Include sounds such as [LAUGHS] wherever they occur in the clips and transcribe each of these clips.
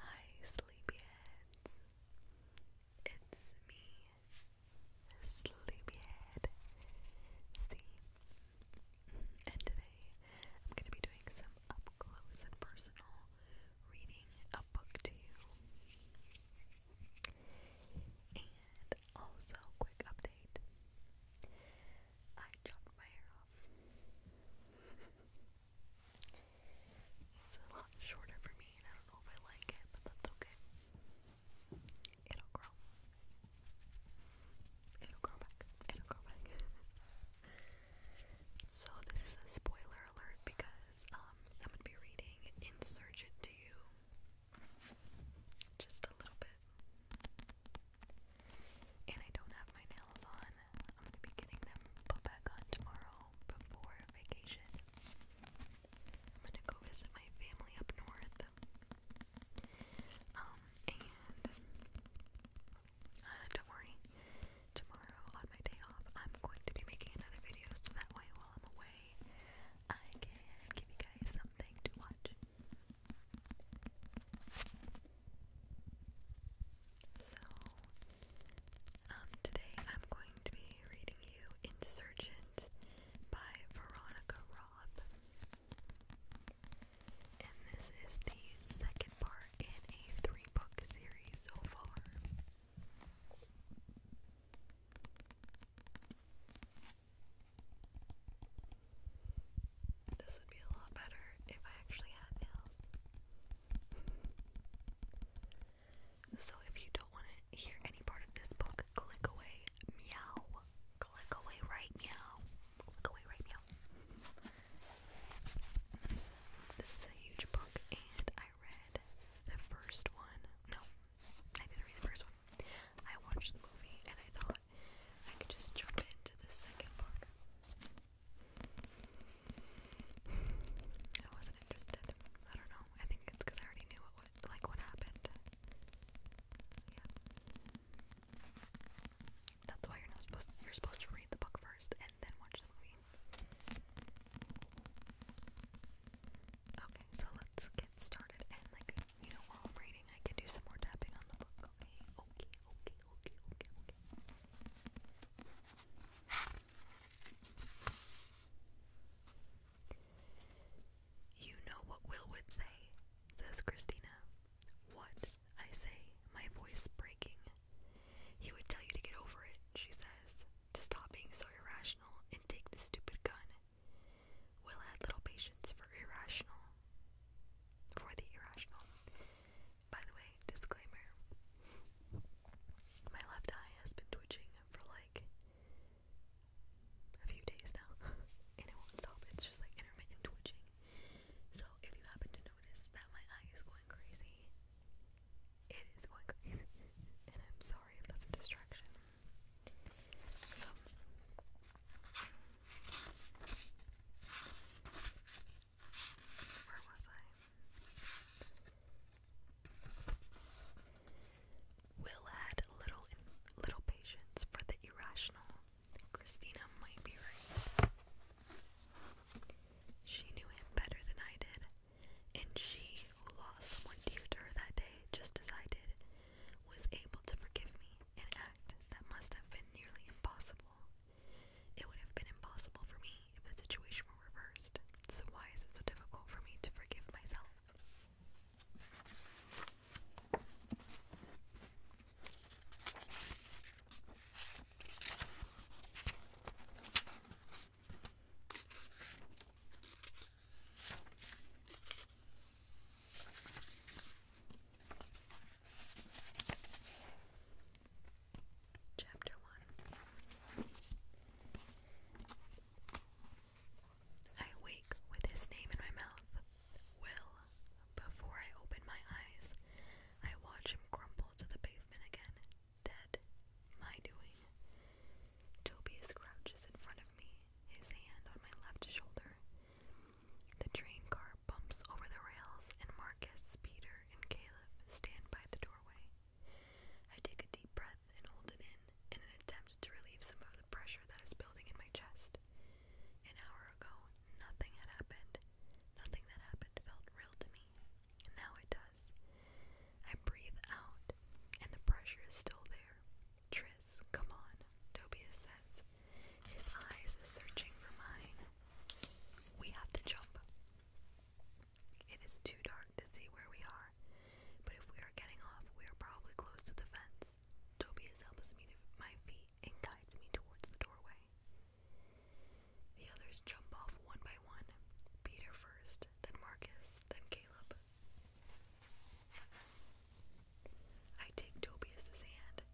Hi, sleepyheads. It's me, Sleepyhead. See, and today I'm going to be doing some up close and personal reading a book to you. And also, quick update. I chopped my hair off. it's a lot shorter for me, and I don't know if I like it, but that's okay. It'll grow. It'll grow back. It'll grow back. [LAUGHS] so this is a spoiler alert because um, I'm gonna be reading "Insurgent to You" Just a little bit. And I don't have my nails on. I'm going to be getting them put back on tomorrow before vacation. I'm going to go visit my family up north. Um, and uh, don't worry, tomorrow on my day off, I'm going to be making another video so that way while I'm away, I can give you guys something to watch. So, um, today I'm going to be reading you Insurgent by Veronica Roth, And this is the second part in a three book series so far. This would be a lot better if I actually had nails. so if you don't want to hear any part of this book, click away, meow. Click away right meow. Click away right meow. This is a huge book, and I read the first one. No, I didn't read the first one. I watched the movie and I thought I could just jump into the second part. I wasn't interested. I don't know. I think it's because I already knew what, what like what happened. Yeah. That's why you're not supposed to, you're supposed to read the book first and then watch the movie. Okay, so let's get started and like you know, while I'm reading, I can do some more tapping on the book, okay? Okay, okay, okay, okay, okay. You know what Will would say, says Christina. What? I say, my voice breaking. He would tell you to get over it, she says, to stop being so irrational and take the stupid gun. Will had little patience for irrational. For the irrational. By the way, disclaimer. My left eye has been twitching for like a few days now. [LAUGHS] and it won't stop. It's just like intermittent twitching. So if you happen to notice that my eye is going crazy, it is going crazy. [LAUGHS] and I'm sorry if that's a distraction. So Will had little little patience for the irrational. Christina might be right. She knew him better than I did, and she, who lost someone dear to her that day, just as I did, was able to forgive me and that must have been nearly impossible. It would have been impossible for me if the situation were reversed, so why is it so difficult for me to forgive myself? Chapter 1 I wake with his name in my mouth. Will, before I open my eyes, I watch him crumble to the pavement again, dead, my doing. Tobias crouches in front of me, his hand on my left shoulder. The train car bumps over the rails, and Marcus, Peter, and Caleb stand by the doorway. I take a deep breath and hold it in in an attempt to relieve some of the pressure that is building in my chest. An hour ago, nothing had happened. Nothing that happened felt real to me. now it does. I breathe out, and the pressure is still there, Tris, come on, Tobias says, his eyes searching for mine. We have to jump. It is too dark to see where we are, but if we are getting off, we are probably close to the fence. Tobias helps me to my feet and guides me towards the doorway. The others jump off one by one. Peter first, then Marcus, then Caleb. I take Tobias's hand.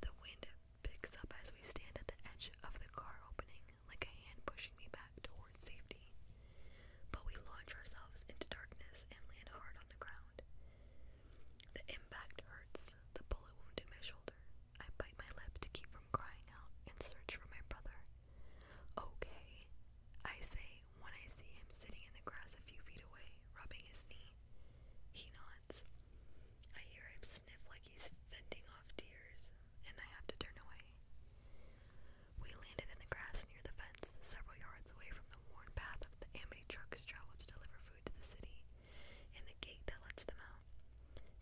The wind picks up as we stand at the edge of the car opening, like a hand pushing me back towards safety. But we launch ourselves into darkness and land hard on the ground. The impact hurts, the bullet wound in my shoulder. I bite my lip to keep from crying out and search for my brother. Okay, I say when I see him sitting in the grass a few feet away, rubbing his knee. He nods. I hear him sniff like he's fending off tears, and I have to turn away. We landed in the grass near the fence, several yards away from the worn path of the Amity trucks travel to deliver food to the city, and the gate that lets them out.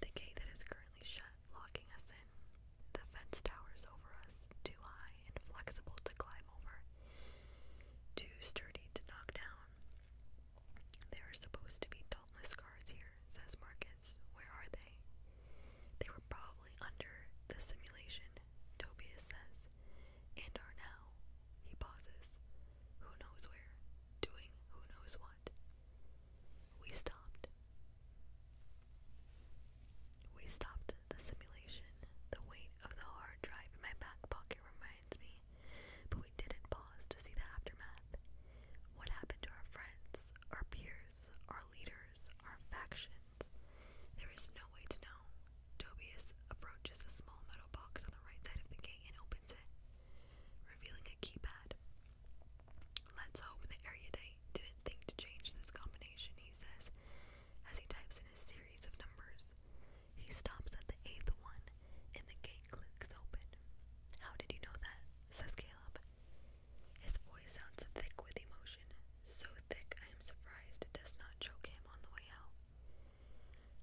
The gate that is currently shut, locking us in. The fence towers over us, too high and flexible to climb over, too sturdy to knock down. There are supposed to be beltless guards here, says Marcus. Where are they? They were probably under the simulation, Tobias says, and are now. He pauses. Who knows where? Doing who knows what. We stopped. We stopped the simulation. The weight of the hard drive in my back pocket reminds but we didn't pause to see the aftermath. What happened to our friends, our peers, our leaders, our factions? There is no way to know. Tobias approaches a small metal box on the right side of the gate and opens it, revealing a keypad. Let's hope the erudite didn't think to change this combination, he says, as he types in a series of numbers. He stops at the eighth one, and the gate clicks open. How did you know that? says Caleb. His voice sounds thick with emotion, so thick I am surprised it does not choke him on the way out.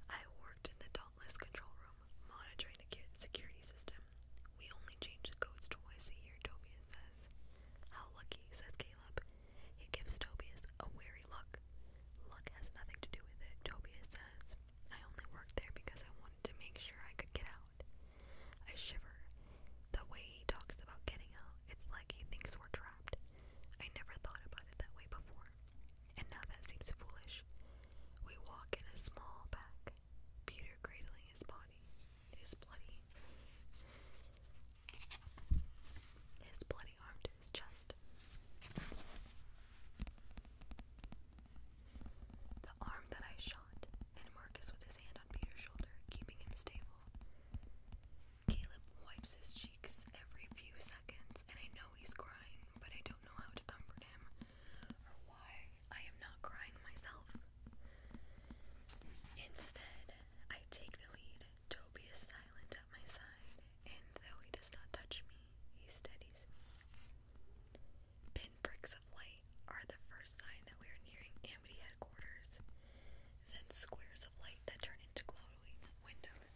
I worked in the Dauntless control room, monitoring the security system. We only change the codes twice a year, Tobias says. How lucky, says Caleb. He gives Tobias a wary look. Luck has nothing to do with it, Tobias says. I only worked there because I wanted to make sure I could get out. I shiver. The way he talks about getting out, it's like he thinks we're trapped. I never thought about it that way before, and now that seems foolish. We walk in a small back, Peter cradling his body, his bloody, his bloody arm to his The arm that I shot, and Marcus with his hand on Peter's shoulder, keeping him stable. Caleb wipes his cheeks every few seconds, and I know he's crying, but I don't know how to comfort him or why I am not crying myself. Instead, I take the lead. Toby is silent at my side, and though he does not touch me, he steadies Pinpricks of light are the first sign that we are nearing Amity headquarters, then squares of light that turn into glowing windows.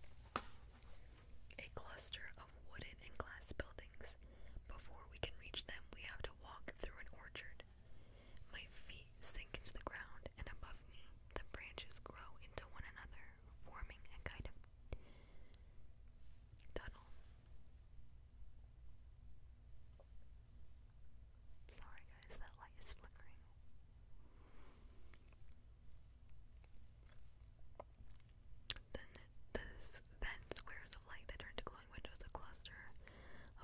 A cluster of wooden and glass buildings. Before we can reach them, we have to walk through an orchard. My feet sink into the ground, and above me, the branches grow into one another, forming a kind of tunnel. Sorry guys, that light is flickering. Then this then squares of light that turn to glowing windows, a cluster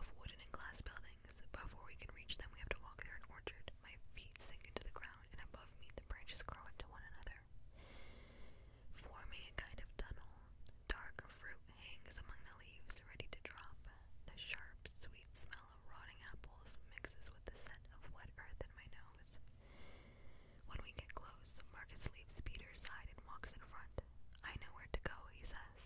of wooden and glass buildings. Before we can reach them we have to walk through an orchard. My feet sink into the ground down, and above me the branches grow into one another, forming a kind of tunnel. Dark fruit hangs among the leaves, ready to drop. The sharp, sweet smell of rotting apples mixes with the scent of wet earth in my nose. When we get close, Marcus leaves Peter's side and walks in front. I know where to go, he says.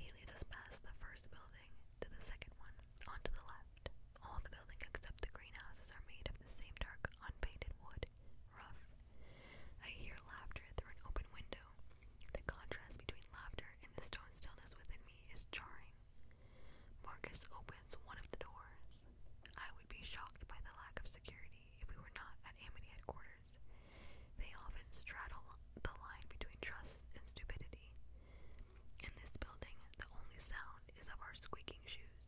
He leads us past the first building to the second one, on to the left. All the buildings except the greenhouses are made of the same dark, unpainted wood, rough. I hear laughter through an open window. The contrast between laughter and the stone stillness within me is jarring. Marcus opens one of the doors. I would be shocked by the lack of security if we were not at Amity headquarters. They often straddle the line between trust and stupidity. In this building, the only sound is of our squeaking shoes.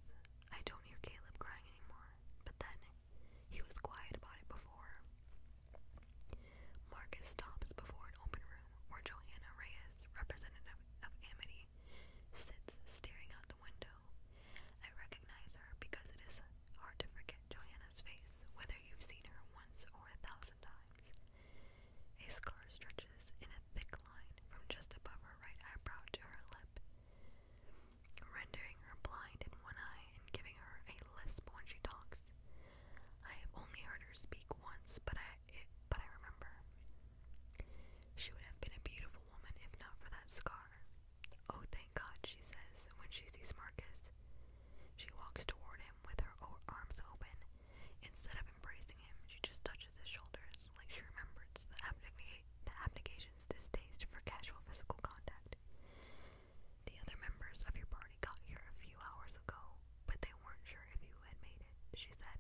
I don't hear Caleb crying anymore, but then he was quiet about it before. Marcus stops before an open room where Johanna Reyes, representative of Amity, sits staring out the window. I recognize her because it is hard to forget Joanna's face, whether you've seen her once or a thousand times. A scar stretches in a thick line from just above her right eyebrow to her lip, rendering her blind in one eye and giving her a lisp when she talks. I have only heard her speak once, but I but I remember. She would have been a beautiful woman if not for that scar. Oh, thank God, she says when she sees Marcus. She walks toward him with her arms open. Instead of embracing him, she just touches hunch of the shoulders, like she remembered the, abdic the abdication's distaste for casual physical contact. The other members of your party got here a few hours ago, but they weren't sure if you had made it, she said.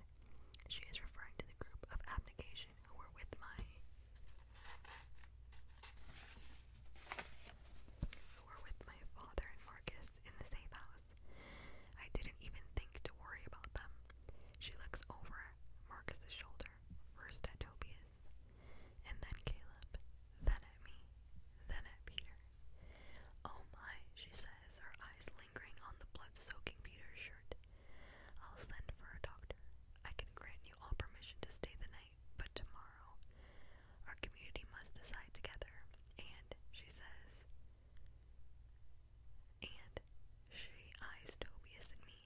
She is referring to the group of abdication who were with my who were with my father and Marcus in the safe house. I didn't even think to worry about them. She looks over Marcus's shoulder, first at Tobias, and then Caleb, then at me, then at Peter. Oh my, she says, her eyes lingering on the blood soaking Peter's shirt. I'll send for a doctor. I can grant you all permission to stay the night, but tomorrow our community must decide together. And, she says, and she eyes Tobias and me.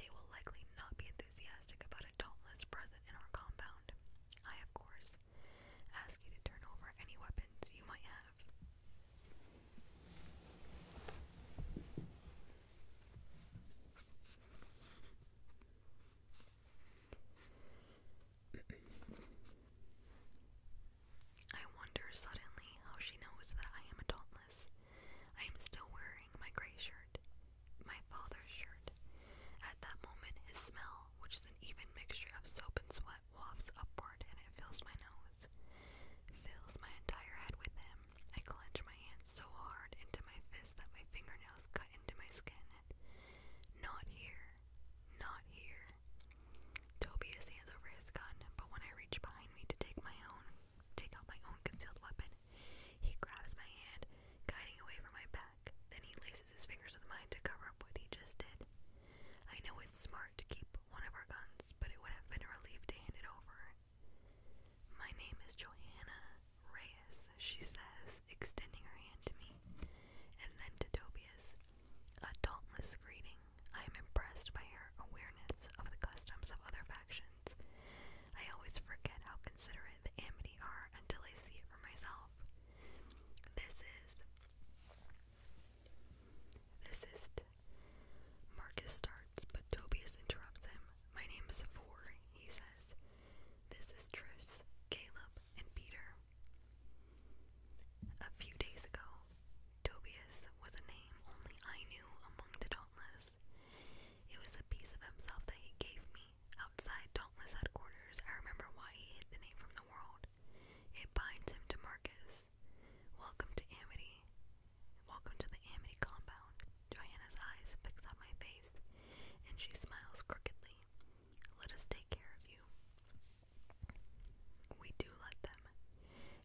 They will likely not be enthusiastic about a dauntless present in our compound. I, of course, ask you to turn over any weapons you might have. I wonder suddenly how she knows that I am adultless. I am still wearing my gray shirt, my father's shirt. At that moment, his smell, which is an even mixture of soap and sweat, wafts upward and it fills my nose. Fills my entire head with him. I clench my hands so hard into my fist that my fingernails cut into my skin. Not here. Not here. Toby is hands over his gun, but when I reach behind me to take my own, take out my own concealed weapon, he grabs my hand, guiding away from my back. Then he laces his fingers with mine to cover up what he just did. I know it's smart to keep one of our guns, but it would have been a relief to hand it over. My name is Johanna Reyes, she says, extending her hand to me, and then to Tobias. Adultless reading. I am impressed by her awareness of the customs of other factions. I always forget how considerate the Amity are until I see it for myself. This is. This is. Marcus starts, but Tobias interrupts him. My name is Avor, he says. This is Tris, Caleb, and Peter. A few days ago, Tobias was a name only I knew among the Dauntless. It was a piece of himself that he gave me. Outside Dauntless headquarters, I remember why he hid the name from the world. It binds him to Marcus. Welcome to Amity. Welcome to the Amity compound. Joanna's eyes fixed on my face, and she smiles crookedly. Let us take care of you. We do let them.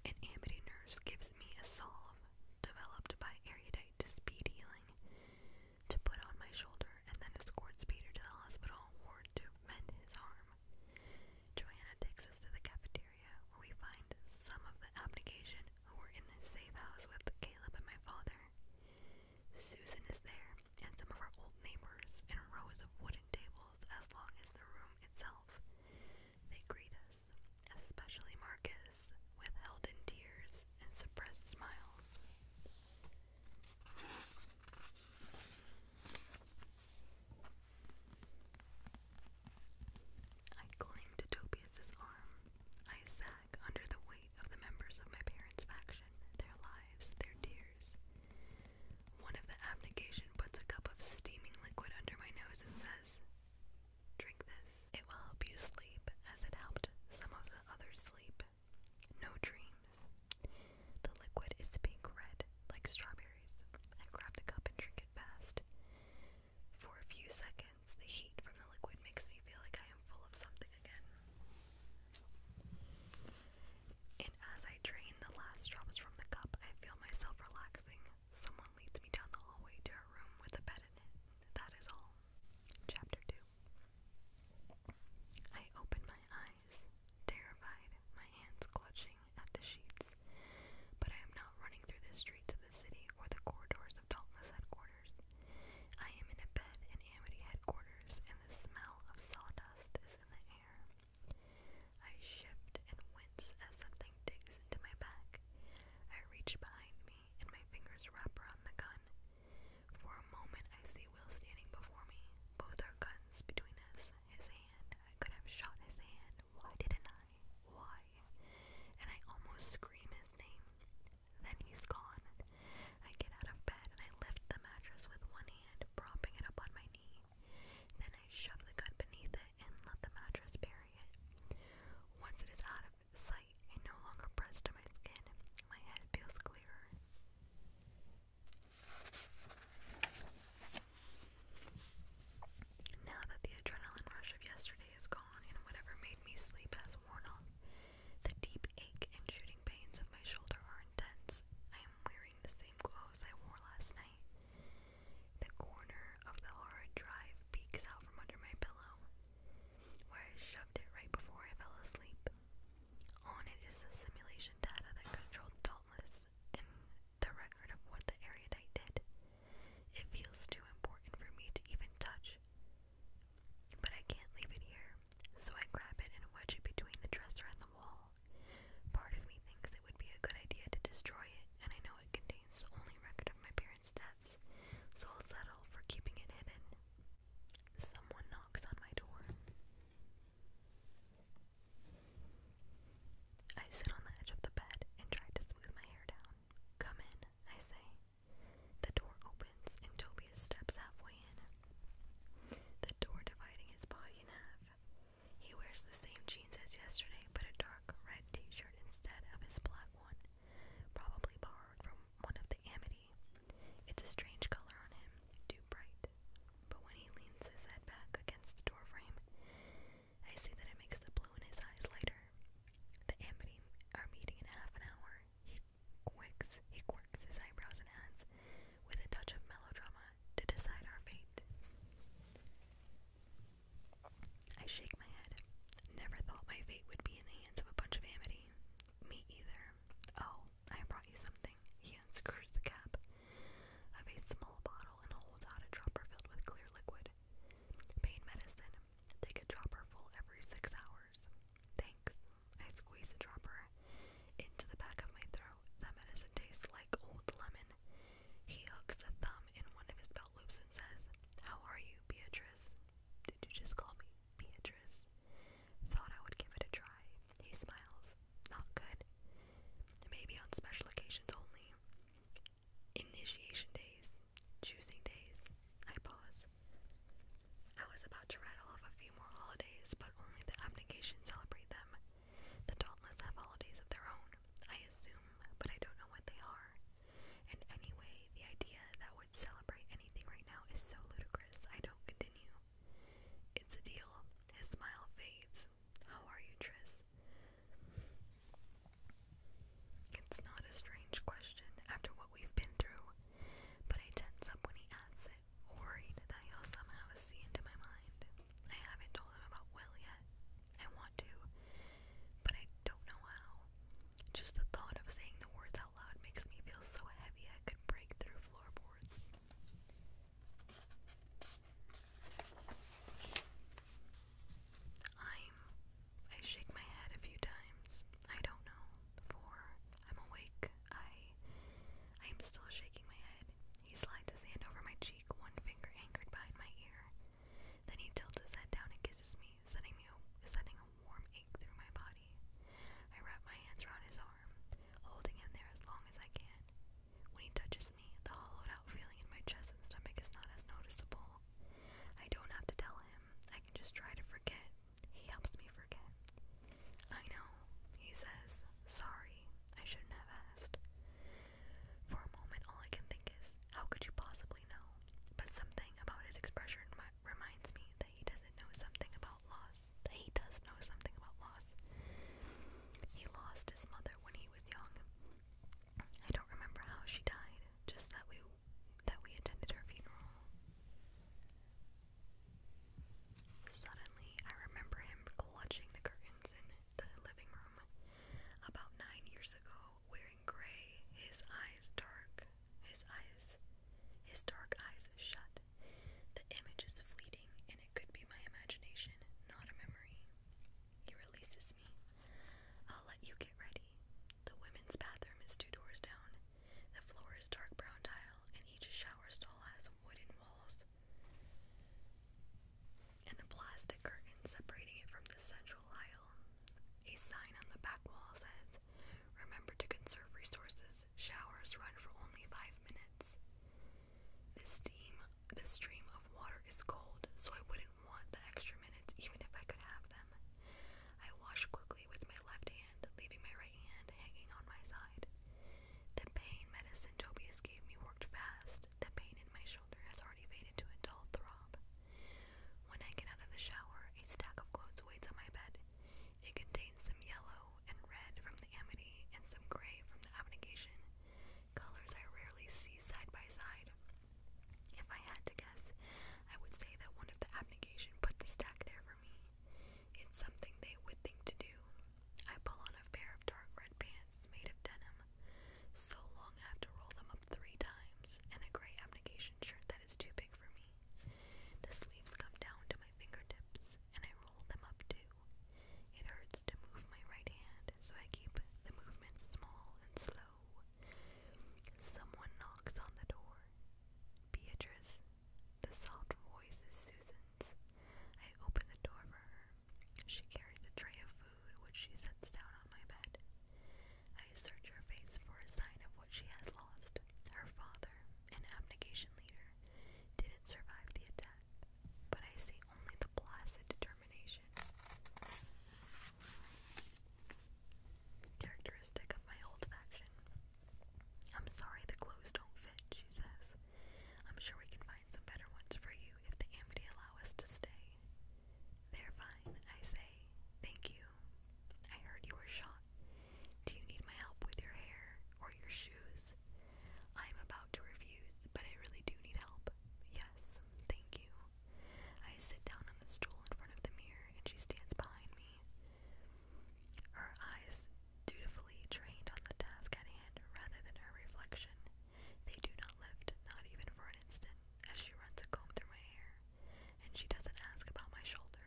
An amity nurse gives me a salve developed by erudite speed healing to put on my shoulder and then escorts Peter to the hospital ward to mend his arm. Joanna takes us to the cafeteria where we find some of the abnegation who were in this safe house with Caleb and my father. Susan is there and some of our old neighbors in rows of wooden tables as long as the room itself. They greet us, especially Marcus, with held in tears and suppressed smiles. I cling to Tobias's arm. I sag under the weight of the members of my parents' faction, their lives, their tears. One of the application puts a cup of steaming liquid under my nose and says, Drink this. It will help you sleep as it helped some of the others sleep. No dreams. The liquid is pink red, like strawberries. I grab the cup and drink it fast. For a few seconds, the heat from the liquid makes me feel like I am full of something again. And as I drain the last drops from the cup, I feel myself relax. Someone leads me down the hallway to a room with a bed in it. That is all. Chapter 2 I open my eyes, terrified, my hands clutching at the sheets. But I am not running through the streets of the city or the corridors of Dauntless headquarters. I am in a bed in Amity headquarters, and the smell of sawdust is in the air. I shift and wince as something digs into my back. I reach behind me and my fingers wrap around the gun. For a moment, I see Will standing before me, both our guns between us. His hand, I could have shot his hand. Why didn't I? Why? And I almost scream his name. Then he's gone. I get out of bed and I lift the mattress with one hand, propping it up on my knee. Then I shove the gun beneath it and let the mattress bury it. Once it is out of sight and no longer pressed to my skin, my head feels clearer. Now that the adrenaline rush of yesterday is gone and whatever made me sleep has worn off, the deep ache and shooting pains of my shoulder are intense. I am wearing the same clothes I wore last night, the corner of the hard drive peeks out from under my pillow, where I shoved it right before I fell asleep. On it is the simulation data that controlled Dauntless and the record of what the erudite did. It feels too important for me to even touch. But I can't leave it here, so I grab it and wedge it between the dresser and the wall. Part of me thinks it would be a good idea to destroy it, and I know it contains the only record of my parents' deaths, so I'll settle for keeping it hidden. Someone knocks on my door. I sit on the edge of the bed and try to smooth my hair down. Come in, I say. The door opens and Tobias steps halfway in, the door dividing his body in half. He wears the same jeans as yesterday, but a dark red t shirt instead of his black one, probably borrowed from one of the Amity. It's a strange color on him, too bright. But when he leans his head back against the doorframe, I see that it makes the blue in his eyes lighter. The Amity are meeting in half an hour. He quicks, he quirks his eyebrows and adds, with a touch of melodrama, to decide our fate. I shake my head. Never thought my fate would be in the hands of a bunch of amity. Me either. Oh, I brought you something. He unscrews the cap of a small bottle and holds out a dropper filled with clear liquid. Pain medicine. Take a dropper full every six hours. Thanks. I squeeze the dropper into the back of my throat. That medicine tastes like old lemon he hooks a thumb in one of his belt loops and says, How are you, Beatrice? Did you just call me Beatrice? Thought I would give it a try. He smiles. Not good. Maybe on special occasions only. Initiation days. Choosing days. I pause. I was about to rattle off a few more holidays, but only the abnegation celebrate them. The Dauntless have holidays of their own, I assume, but I don't know what they are. And anyway, the idea that would celebrate anything right now is so ludicrous, I don't continue. It's a deal. His smile fades. How are you, Tris? It's not a strange question after what we've been through, but I tense up when he asks it, worried that he'll somehow see into my mind. I haven't told him about Will yet, I want to, but I don't know how. Just the thought of saying the words out loud makes me feel so heavy I could break through floorboards. I'm. I shake my head a few times. I don't know. For I'm awake. I. I am still shaking my head. He slides his hand over my cheek, one finger anchored behind my ear. Then he tilts his head down and kisses me, sending me sending a warm ache through my body. I wrap my hands around his arm, holding him there as long as I can. When he touches me, the hollowed out feeling in my chest and stomach is not as noticeable. I don't have to tell him. I can just try to forget. He helps me forget. I know, he says. Sorry, I shouldn't have asked. For a moment, all I can think is, how could you possibly know? But something about his expression reminds me that he doesn't know something about loss. That he does know something about loss. He lost his mother when he was young. I don't remember how she died, just that we that we attended her funeral. Suddenly, I remember him clutching the curtains and the living room about nine years ago, wearing gray, his eyes dark, his eyes, his dark eyes shut. The image is fleeting, and it could be my imagination, not a memory. He releases me. I'll let you get ready. The women's bathroom is two doors down. The floor is dark brown tile, and each shower stall has wooden walls and a plastic curtain separating it from the central aisle. A sign on the back wall says, Remember to conserve resources. Showers run for only five minutes. The steam, the stream of water is cold, so I wouldn't want the extra minutes even if I could have them. I wash quickly with my left hand, leaving my right hand hanging on my side. The pain medicine Tobias gave me worked fast. The pain in my shoulder has already faded to a dull throb. When I get out of the shower, a stack of clothes waits on my bed. It contains some yellow and red from the amity and some gray from the abnegation, colors I rarely see side by side. If I had to guess, I would say that one of the abnegation put the stack there for me. It's something they would think to do. I pull on a pair of dark red pants pants made of denim, so long I have to roll them up three times, and a gray abnegation shirt that is too big for me. The sleeves come down to my fingertips, and I roll them up too. It hurts to move my right hand, so I keep the movement small and slow. Someone knocks on the door. Beatrice. The soft voice is Susan's. I open the door for her. She carries a tray of food, which she sets down on my bed. I search her face for a sign of what she has lost. Her father, an abnegation leader, didn't survive the attack, but I see only the placid determination. Characteristic of my old faction. I'm sorry the clothes don't fit, she says. I'm sure we can find some better ones for you if the Amity allow us to stay. They're fine, I say. Thank you. I heard you were shot. Do you need my help with your hair or your shoes? I'm about to refuse, but I really do need help. Yes, thank you. I sit down on the stool in front of the mirror and she stands behind me. Her eyes dutifully trained on the task at hand rather than her reflection. They do not lift, not even for an instant, as she runs a comb through my hair. And she doesn't ask about my shoulder,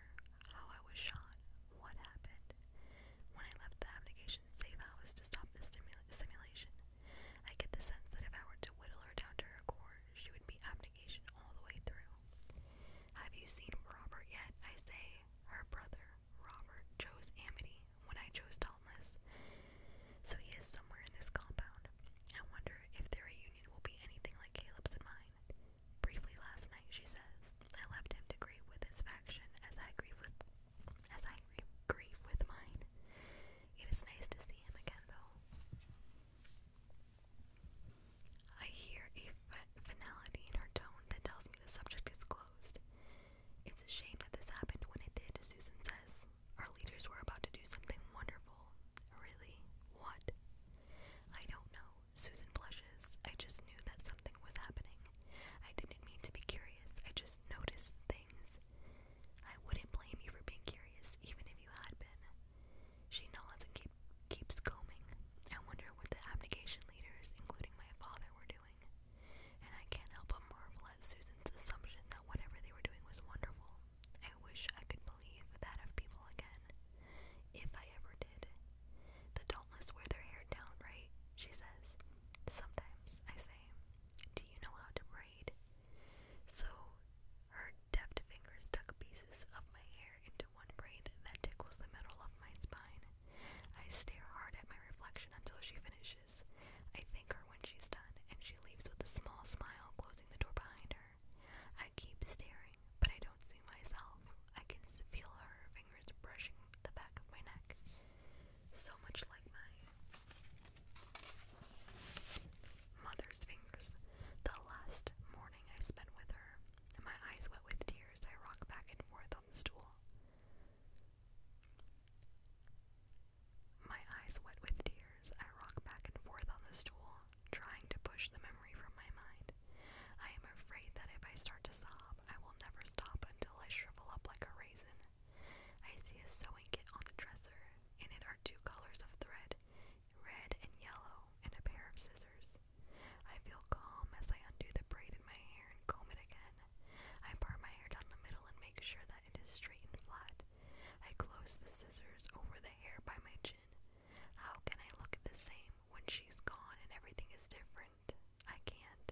how I was shot, what happened. When I left the abnegation safe house to stop the simulation, I get the sense that if I were to whittle her down to her core, she would be abnegation all the way through. Have you seen Robert yet? I say. Her brother, Robert, chose Amity when I chose Dauntless. So he is somewhere in this compound. I wonder if their reunion will be anything like Caleb's and mine. Briefly last night, she says, I left him to grieve with his faction as I grieve with as I grieve with mine. It is nice to see him again, though. I hear a finality in her tone that tells me the subject is closed. It's a shame that this happened when it did, Susan says. Our leaders were about to do something wonderful. Really? What? I don't know. Susan blushes. I just knew that something was happening. I didn't mean to be curious. I just noticed things. I wouldn't blame you for being curious, even if you had been. She nods and keep, keeps combing. I wonder what the abnegation leaders, including my father, were and I can't help but marvel at Susan's assumption that whatever they were doing was wonderful. I wish I could believe that of people again. If I ever did. The dauntless wear their hair down, right? She says. Sometimes, I say, do you know how to braid? So, her deft fingers tuck pieces of my hair into one braid that tickles the middle of my spine. I stare hard at my reflection until she finishes I thank her when she's done, and she leaves with a small smile, closing the door behind her. I keep staring, but I don't see myself. I can feel her fingers brushing the back of my neck. So much like my mother's fingers. The last morning I spent with her, and my eyes wet with tears, I rock back and forth on the stool. My eyes wet with tears, I rock back and forth on the stool, trying to push the memory from my mind. I am afraid that if I start to sob, I will never stop until I shrivel up like a raisin. I see a sewing kit on the dresser. In it are two colors of thread, red and yellow, and a pair of scissors. I feel calm as I undo the braid in my hair and comb it again. I part my hair down the middle and make sure that it is straight and flat. I close the scissors over the hair by my chin. How can I look the same when she's gone and everything is different? I can't.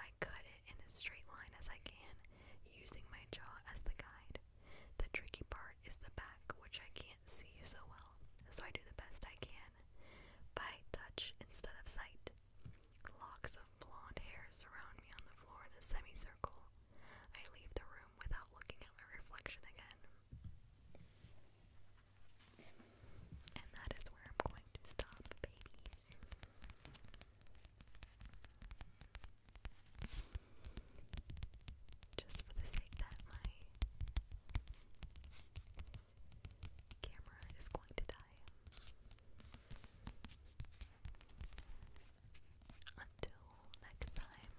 I cut it in a straight line as I can, using my jaw as the guide. The tricky part is the back, which I can't see so well, so I do the best I can. By touch instead of sight. Locks of blonde hair surround me on the floor in a semicircle. I leave the room without looking at my reflection again. And that is where I'm going to stop, babies. Just for the sake that my camera is going to die. Until next time,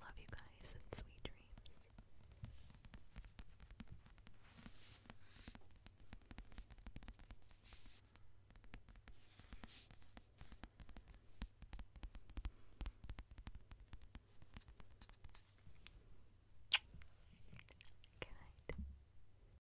love you guys and sweet dreams. Good night.